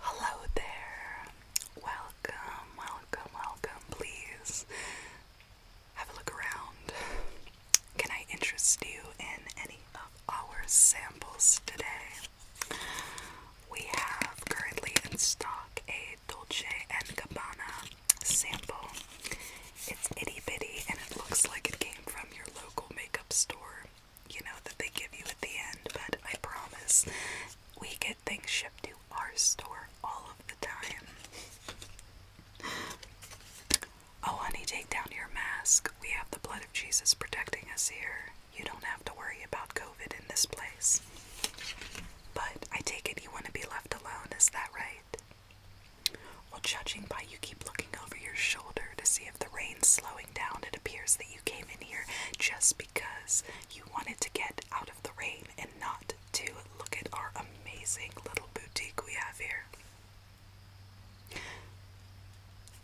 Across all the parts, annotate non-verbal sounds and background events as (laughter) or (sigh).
Hello there. Welcome, welcome, welcome. Please have a look around. Can I interest you in any of our samples today? We have currently in stock a Dolce & Gabbana sample. It's itty bitty and it looks like it came from your local makeup store, you know, that they give you at the end, but I promise we get things shipped to our store all of the time. Oh, honey, take down your mask. We have the blood of Jesus protecting us here. You don't have to worry about COVID in this place. But I take it you want to be left alone, is that right? Well, judging by you keep looking over your shoulder to see if the rain's slowing down, it appears that you came in here just because you wanted to get out of the rain and not to look at our amazing little boutique we have here.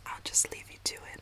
I'll just leave you to it.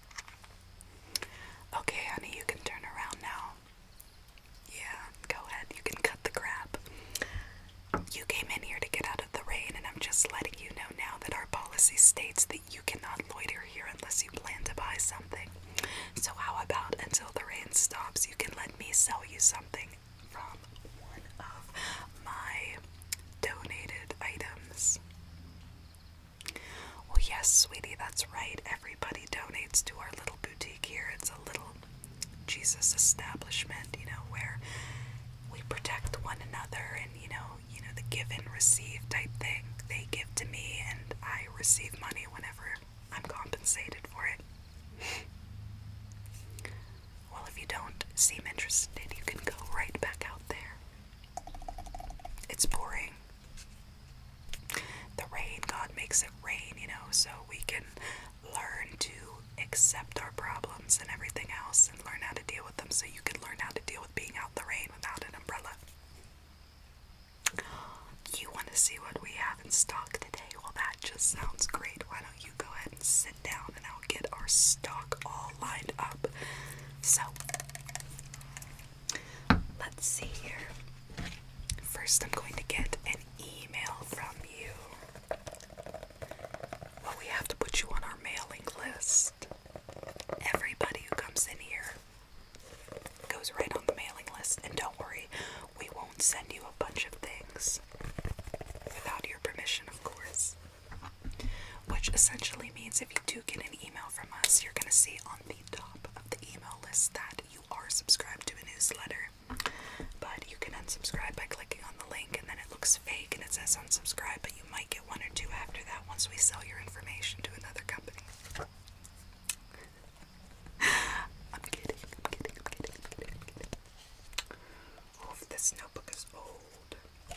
Okay, honey, you can turn around now. Yeah, go ahead. You can cut the crap. You came in here to get out of the rain, and I'm just letting you know now that our policy states that you cannot loiter here unless you plan to buy something. So, how about until the rain stops, you can let me sell you something from one of my donated items? Well, oh, yes, sweetie, that's right. Everybody donates to our little boutique here. It's a little Jesus establishment, you know, where we protect one another and you know, you know, the give and receive type thing. They give to me and I receive money whenever I'm compensated for it. well, if you don't seem interested, you can go right back out there. It's boring the rain, God makes it rain, you know, so we can learn to accept our problems and everything else and learn how to deal with them so you can learn how to deal with being out in the rain without an umbrella. You want to see what we have in stock today? Well, that just sounds great. Why don't you go ahead and sit down and I'll get our stock all lined up. So, Let's see here. First, I'm going to get an email from you. Well, we have to put you on our mailing list. Everybody who comes in here goes right on the mailing list, and don't worry, we won't send you a bunch of things without your permission, of course. Which essentially means if you do get an email from us, you're going to see on the top of the email list that you are subscribed to a newsletter. But you can unsubscribe by clicking on the link, and then it looks fake and it says unsubscribe, but you might get one or two after that once we sell your information to another company. I'm kidding, I'm kidding, I'm kidding, I'm kidding, i this notebook is old.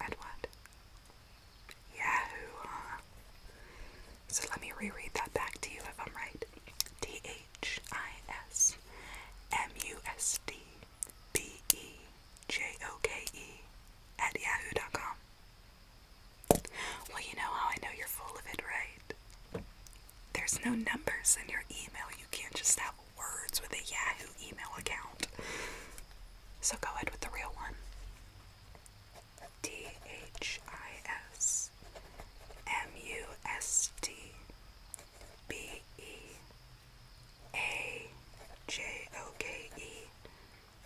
Edward. Yahoo! So let me reread that back to you if I'm right. T H I S M U S D B E J O K E at yahoo.com. Well, you know how I know you're full of it, right? There's no numbers in your email. You can't just have words with a Yahoo email account. So go ahead with the real one. D H I S M U S T B E A J O K E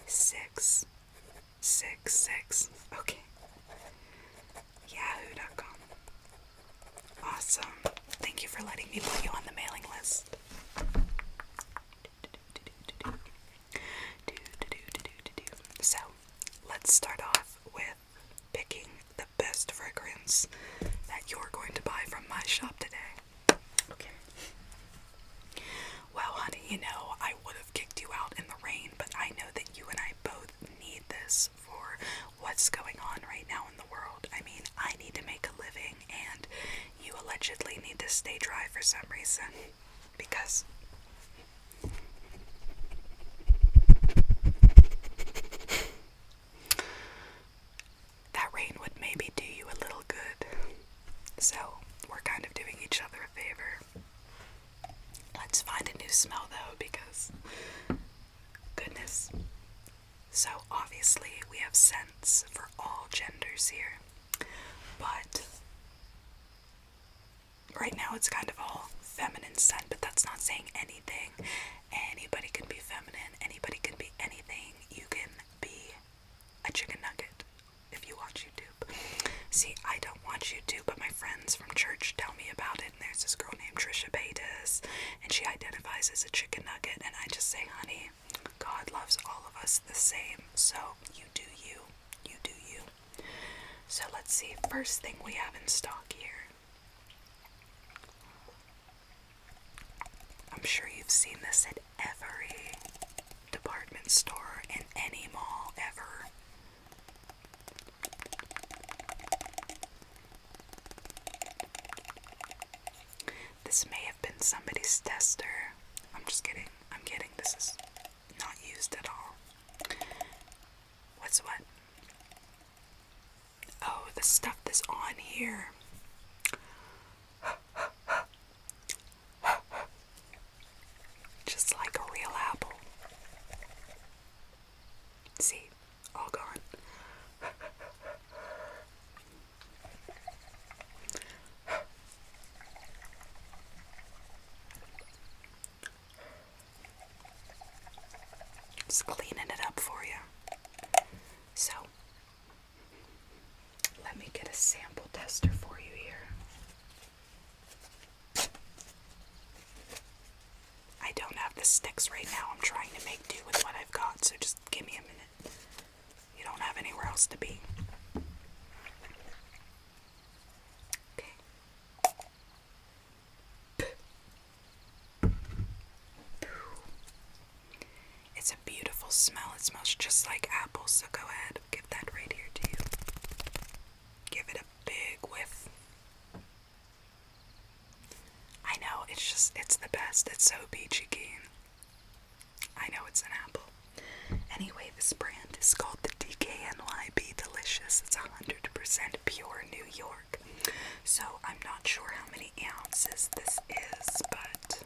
6 6 6. Okay. Yahoo.com. Awesome. Thank you for letting me put you on the mailing list. So let's start off with picking the best fragrance that you're going to buy from my shop today. Okay. Well, honey, you know, I would have kicked you out in the rain, but I know that you and I both need this for what's going on right now in the world. I mean, I need to make a living, and you allegedly need to stay dry for some reason because that rain would maybe do you a little good. So, we're kind of doing each other a favor. Let's find a new smell though, because goodness. So, obviously, we have scents for all genders here. But right now it's kind of all feminine scent, but that's not saying anything. Anybody can be feminine, anybody can be anything. You can be a chicken nugget if you watch YouTube. See, I don't watch YouTube, but my friends from church tell me about it. And there's this girl named Trisha Paytas, and she identifies as a chicken nugget. And I just say, honey, God loves all of us the same. So you do you. You do you. So let's see, first thing we have in stock here. I'm sure you've seen this at every department store in any mall ever. This may have been somebody's tester. I'm just kidding. I'm kidding. This is not used at all. What's what? Oh, the stuff that's on here. Just like a real apple. See, all gone. Just cleaning it up for you. So, let me get a sample tester for you here. I don't have the sticks right now. I'm trying to make do with what I've got, so just give me a minute. You don't have anywhere else to be. Okay. It's a beautiful smell. It smells just like apples, so go ahead. Give that right here to you. Give it a big whiff. I know, it's just, it's the best. It's so peachy keen. I know it's an apple. Anyway, this brand is called the DKNYB Delicious. It's 100% pure New York. So I'm not sure how many ounces this is, but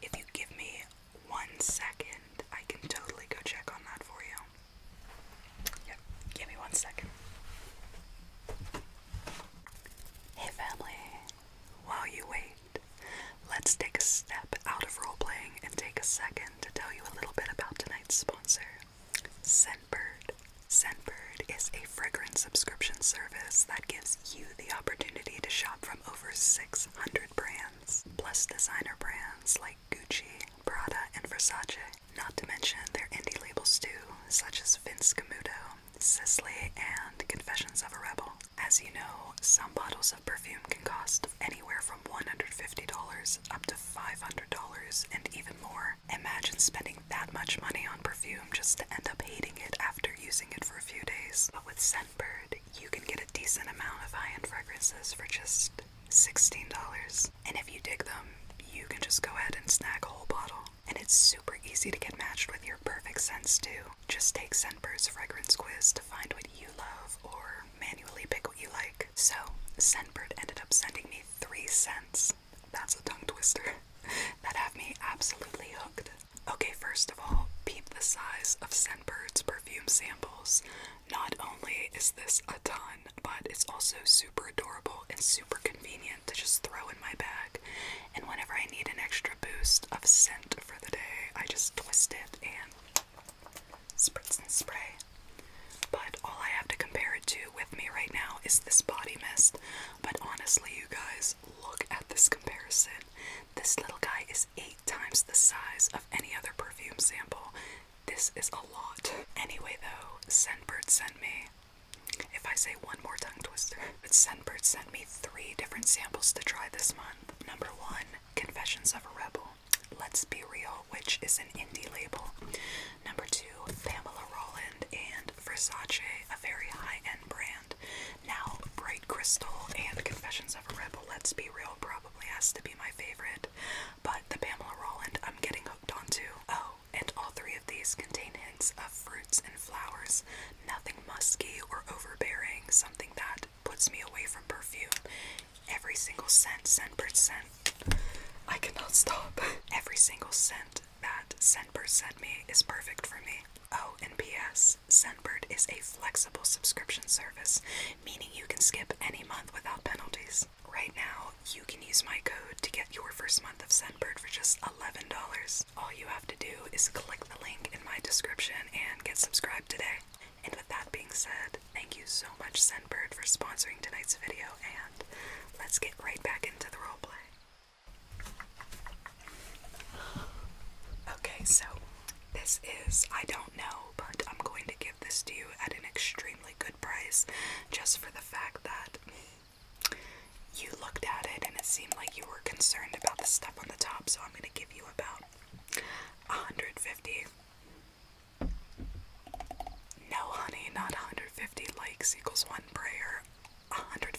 if you give me one second, I can totally go check on that for you. Yep, give me one second. Hey family, while you wait, let's take a step out of role playing and take a second to tell you a little bit about tonight's sponsor, Scentbird. Scentbird is a fragrance subscription service that gives you the opportunity to shop from over 600 brands, plus designer brands like Gucci, Prada, and Versace. Not to mention their indie labels too, such as Vince Camuto, Sisley, and Confessions of a Rebel. As you know, some bottles of perfume can cost anywhere from $150 up to $500 and even more. Imagine spending that much money on perfume just to end up hating it after using it for a few days. But with Scentbird, you can get a decent amount of high end fragrances for just $16. And if you dig them, you can just go ahead and snag a whole bottle. And it's super easy to get matched with your perfect scent too. Just take Scentbird's fragrance quiz to find what you love or manually pick what you like. So, Scentbird ended up sending me three scents. That's a tongue twister. (laughs) that have me absolutely hooked. Okay, first of all, peep the size of Scentbird's perfume samples. Not only is this a ton, but it's also super adorable and super convenient ingredient to just throw in my bag. And whenever I need an extra boost of scent for the day, I just twist it and spritz and spray. But all I have to compare it to with me right now is this body mist. But honestly, you guys, look at this comparison. This little guy is eight times the size of any other perfume sample. This is a lot. Anyway, though, Scentbird sent me if I say one more tongue twister, but (laughs) Sunbird sent me three different samples to try this month. Number one, Confessions of a Rebel. Let's Be Real, which is an indie label. Number two, Pamela Roland and Versace, a very high end brand. Now, Bright Crystal and Confessions of a Rebel, Let's Be Real probably has to be my favorite, but the Pamela Roland I'm getting hooked on onto. Oh, and all three of these contain hints of fruits and flowers, nothing musky or overbearing, something that puts me away from perfume. Every single scent, scent per scent, I cannot stop. Every single scent that Scentbird sent me is perfect for me. Oh, and P.S. Scentbird is a flexible subscription service, meaning you can skip any month without penalties. Right now, you can use my code to get your first month of Scentbird for just $11. All you have to do is click the link in my description and get subscribed today. And with that being said, thank you so much, Scentbird, for sponsoring tonight's video, and let's get right back into the roleplay. Okay, so this is, I don't know, but I'm going to give this to you at an extremely good price just for the fact that you looked at it and it seemed like you were concerned about the stuff on the top, so I'm going to give you about 150. No, honey, not 150 likes equals one prayer. $150.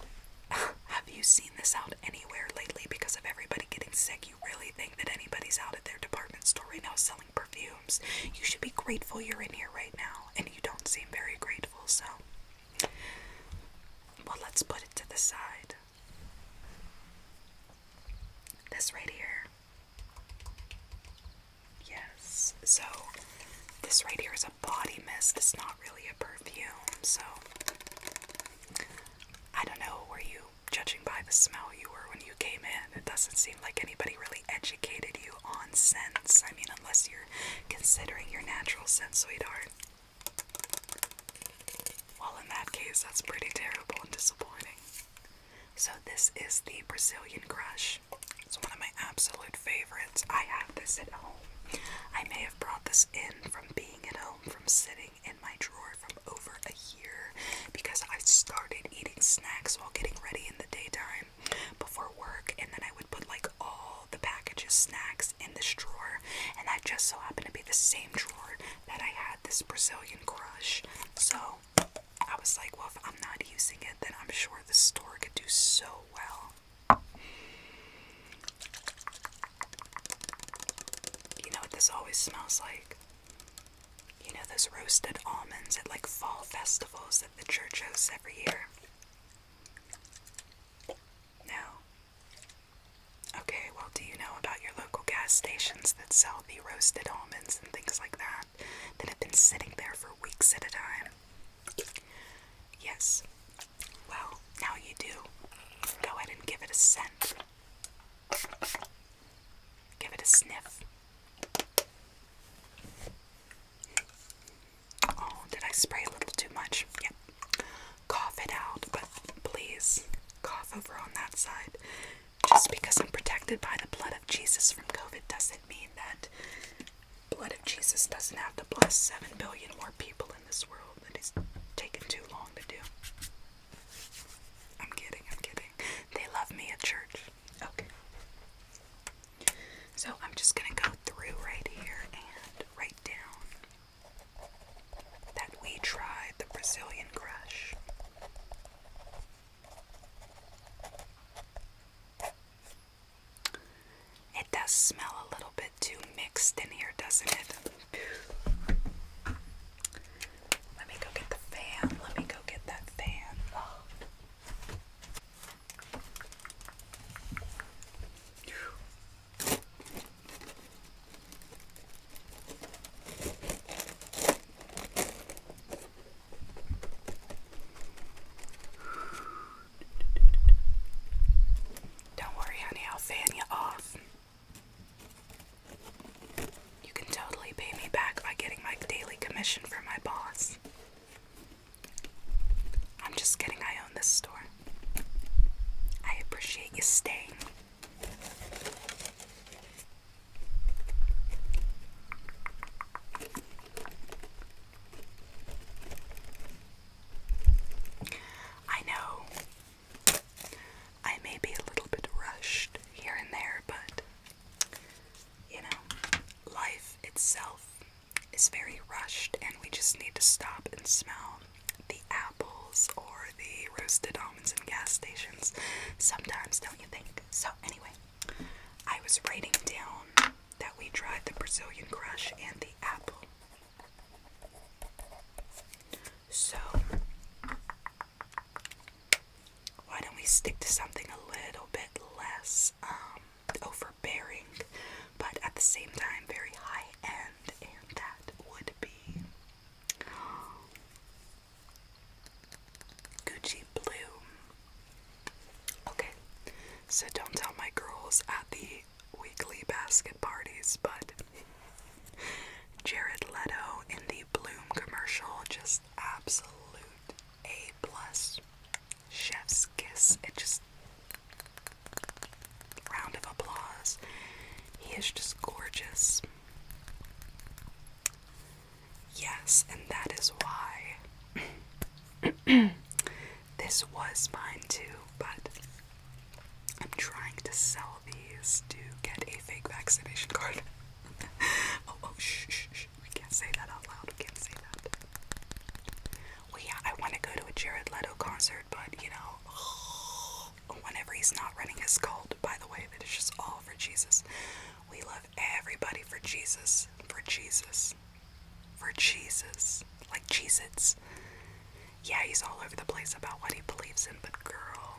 (laughs) Have you seen this out anywhere lately because of everybody getting sick? You really think that anybody's out at their department store now selling perfumes? You should be grateful you're in here right now, and you don't seem very grateful, so well, let's put it to the side. This right here. Yes. So, this right here is a body mist. It's not really a perfume. So, I don't know. Were you judging by the smell you were when you came in? It doesn't seem like anybody really educated you on sense, I mean, unless you're considering your natural scent, sweetheart. Well, in that case, that's pretty terrible and disappointing. So, this is the Brazilian Crush. It's one of my absolute favorites. I have this at home. I may have brought this in from being at home, from sitting in my drawer from over a year because I started eating snacks while getting ready in the daytime before work, and then I would put like all the packages, snacks in this drawer, and that just so happened to be the same drawer that I had this Brazilian crush. So I was like, well, if I'm not using it, then I'm sure the store could do so well. You know what this always smells like? You know those roasted almonds at like fall festivals at the church house every year? No. Okay, well, do you know about your local gas stations that sell the roasted almonds and things like that that have been sitting there for weeks at a time? Yes. Well, now you do. Go ahead and give it a scent. Give it a sniff. Oh, did I spray a little too much? Yep. Cough it out, but please cough over on that side. Just because I'm protected by the blood of Jesus from COVID doesn't mean that blood of Jesus doesn't have to bless seven billion more people in this world. That is taken too long to do. I'm kidding, I'm kidding. They love me at church. Okay. So I'm just going to go through right here and write down that we tried the Brazilian crush. It does smell a little bit too mixed in here, doesn't it? Let me go get the fan. Let me go get that fan. Don't worry, honey, I'll fan you off. You can totally pay me back by getting my daily commission from my boss. I'm just kidding, I own this store. I appreciate you staying. I know I may be a little bit rushed here and there, but you know, life itself is very rushed, and we just need to stop and smell the apples or the roasted almonds in gas stations sometimes, don't you think? So, anyway, I was writing down that we tried the Brazilian Crush and the apple. So, why don't we stick to something a little bit less um, overbearing, but at the same time very high end, and that would be Gucci Blue. Okay, so don't tell my girls at the weekly basket parties, but (laughs) Jared Leto in the Bloom commercial just absolute A plus chef's kiss. It just round of applause. He is just gorgeous. Yes, and that is why (clears throat) this was mine too, but I'm trying to sell these to get a fake vaccination card. (laughs) Oh, oh, shh, shh, shh. We can't say that out loud. We can't say that well, I want to go to a Jared Leto concert, but you know, whenever he's not running his cult, by the way, that is just all for Jesus. We love everybody for Jesus, for Jesus, for Jesus, like Jesus. Yeah, he's all over the place about what he believes in, but girl,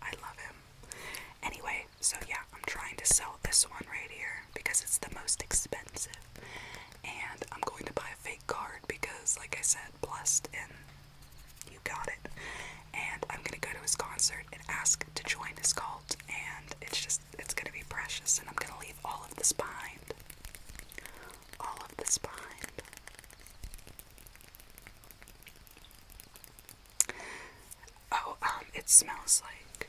I love him. Anyway, so yeah, I'm trying to sell this one right here because it's the most expensive. And I'm going to buy a fake card because, like I said, blessed and you got it. And I'm gonna go to his concert and ask to join his cult. And it's just, it's gonna be precious. And I'm gonna leave all of this behind. All of this behind. Oh, um, it smells like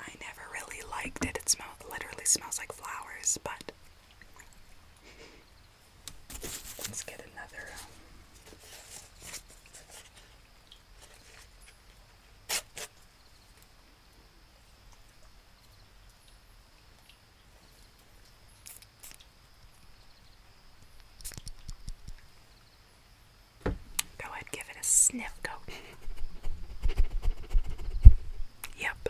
I never really liked it. It smells literally smells like flowers, but let's get another. Um, Go ahead, give it a sniff. Go. Yep.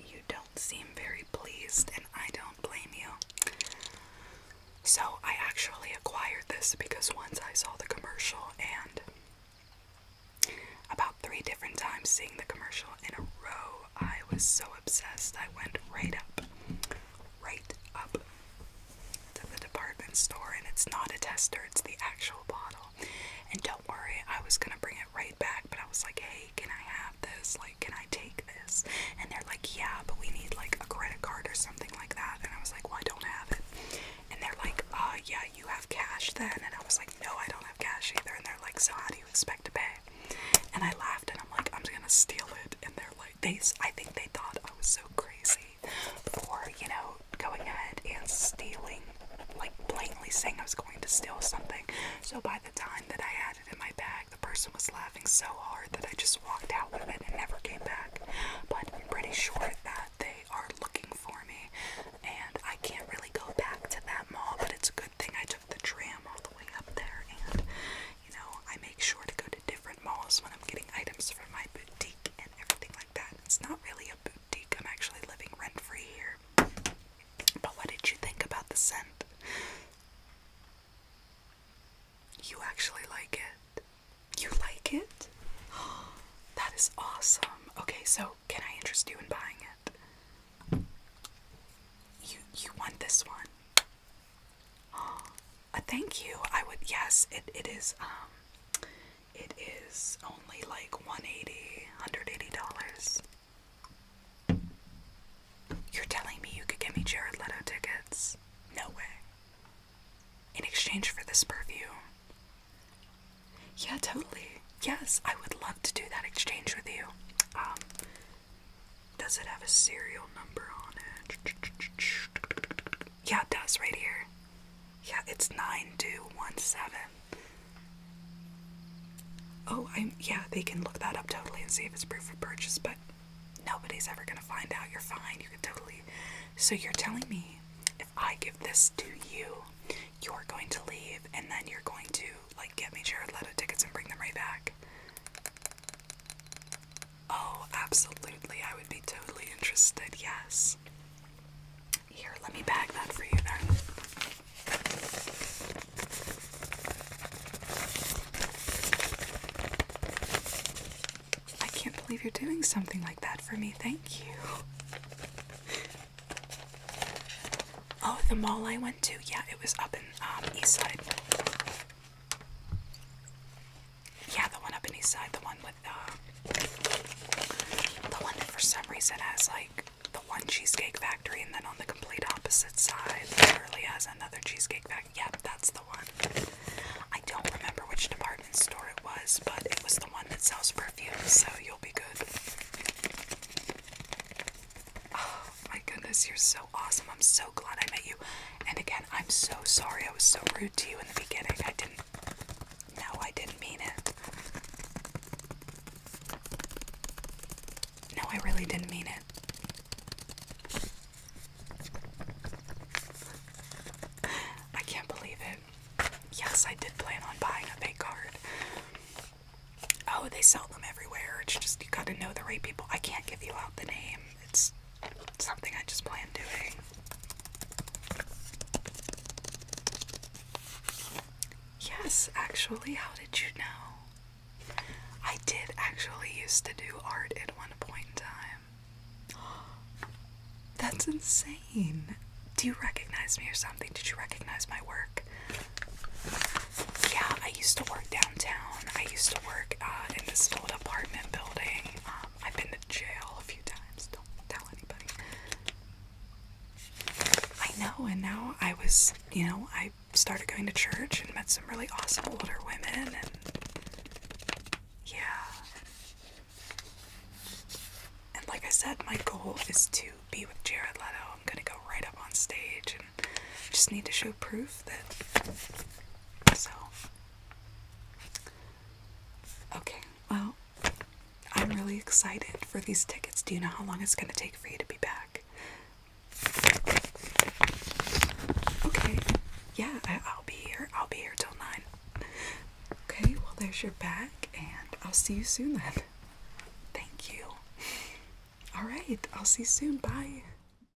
You don't seem very pleased, and I don't blame you. So, I actually acquired this because once I saw the commercial, and about three different times seeing the commercial in a row, I was so obsessed, I went right up right up to the department store, and it's not a tester, it's the actual bottle. And don't worry, I was gonna bring it right back, but I was like, hey, can I have this? Like, can I take this? And they're like, yeah, but we need like a credit card or something like that. And I was like, well, don't have it. And they're like, uh, yeah, you have cash then. And I was like, no, I don't have cash either. And they're like, so how do you expect to pay? And I laughed and I'm like, I'm just gonna steal it. And they're like, they, I think they thought I was so crazy for, you know, going ahead and stealing, like blatantly saying I was going to steal something. So by the time that I had it in my bag, the person was laughing so hard that I just walked out with it and never came back. But I'm pretty sure that they are looking for me and I can't really go back to that mall, but it's a good thing I took the tram all the way up there and you know, I make sure to go to different malls when I'm getting items for my boutique and everything like that. It's not really a boutique, I'm actually living rent free here. But what did you think about the scent? You actually like it. You like it? (gasps) That is awesome. Okay, so can I interest you in buying it? You you want this one? Uh, (gasps) thank you. I would yes, it it is um it is only like 180 180 dollars. You're telling me you could get me Jared Leto tickets? No way. In exchange for this perfume. Yeah, totally. Yes, I would love to do that exchange with you. Um does it have a serial number on it? Yeah, it does, right here. Yeah, it's 9217. Oh, I'm, yeah, they can look that up totally and see if it's proof of purchase, but nobody's ever gonna find out. You're fine, you can totally. So you're telling me if I give this to you, you're going to leave and then you're going to, like, get me Jared letter tickets and bring them right back. Oh, absolutely. I would be totally interested, yes. Here, let me bag that for you then. I can't believe you're doing something like that for me. Thank you. Oh, the mall I went to. Yeah, it was up in um, Eastside. Yeah, the one up in East Side, the one with the uh, the one that for some reason has like the one cheesecake factory, and then on the complete opposite side, literally has another cheesecake factory. Yep, that's the one. I don't remember which department store it was, but it was the one that sells perfume, so you'll be good. Oh my goodness, you're so awesome. I'm so glad I met you. And again, I'm so sorry I was so rude to you in the beginning. I didn't. No, I didn't mean it. No, I really didn't mean it. I can't believe it. Yes, I did plan on buying a fake card. Oh, they sell them everywhere. It's just you gotta know the right people. I can't give you out the name it's something I just plan doing. Yes, actually, how did you know? I did actually used to do art at one point in time. (gasps) That's insane. Do you recognize me or something? Did you recognize my work? Yeah, I used to work down downtown. I used to work uh, in this old apartment building. Um, I've been to jail a few times. Don't tell anybody. I know, and now I was, you know, I started going to church and met some really awesome older women, and yeah. And like I said, my goal is to be with Jared Leto. I'm gonna go right up on stage and just need to show proof that. So. Okay, well, I'm really excited for these tickets. Do you know how long it's going to take for you to be back? Okay, yeah, I, I'll be here. I'll be here till 9. Okay, well, there's your bag, and I'll see you soon then. Thank you. Alright, I'll see you soon. Bye.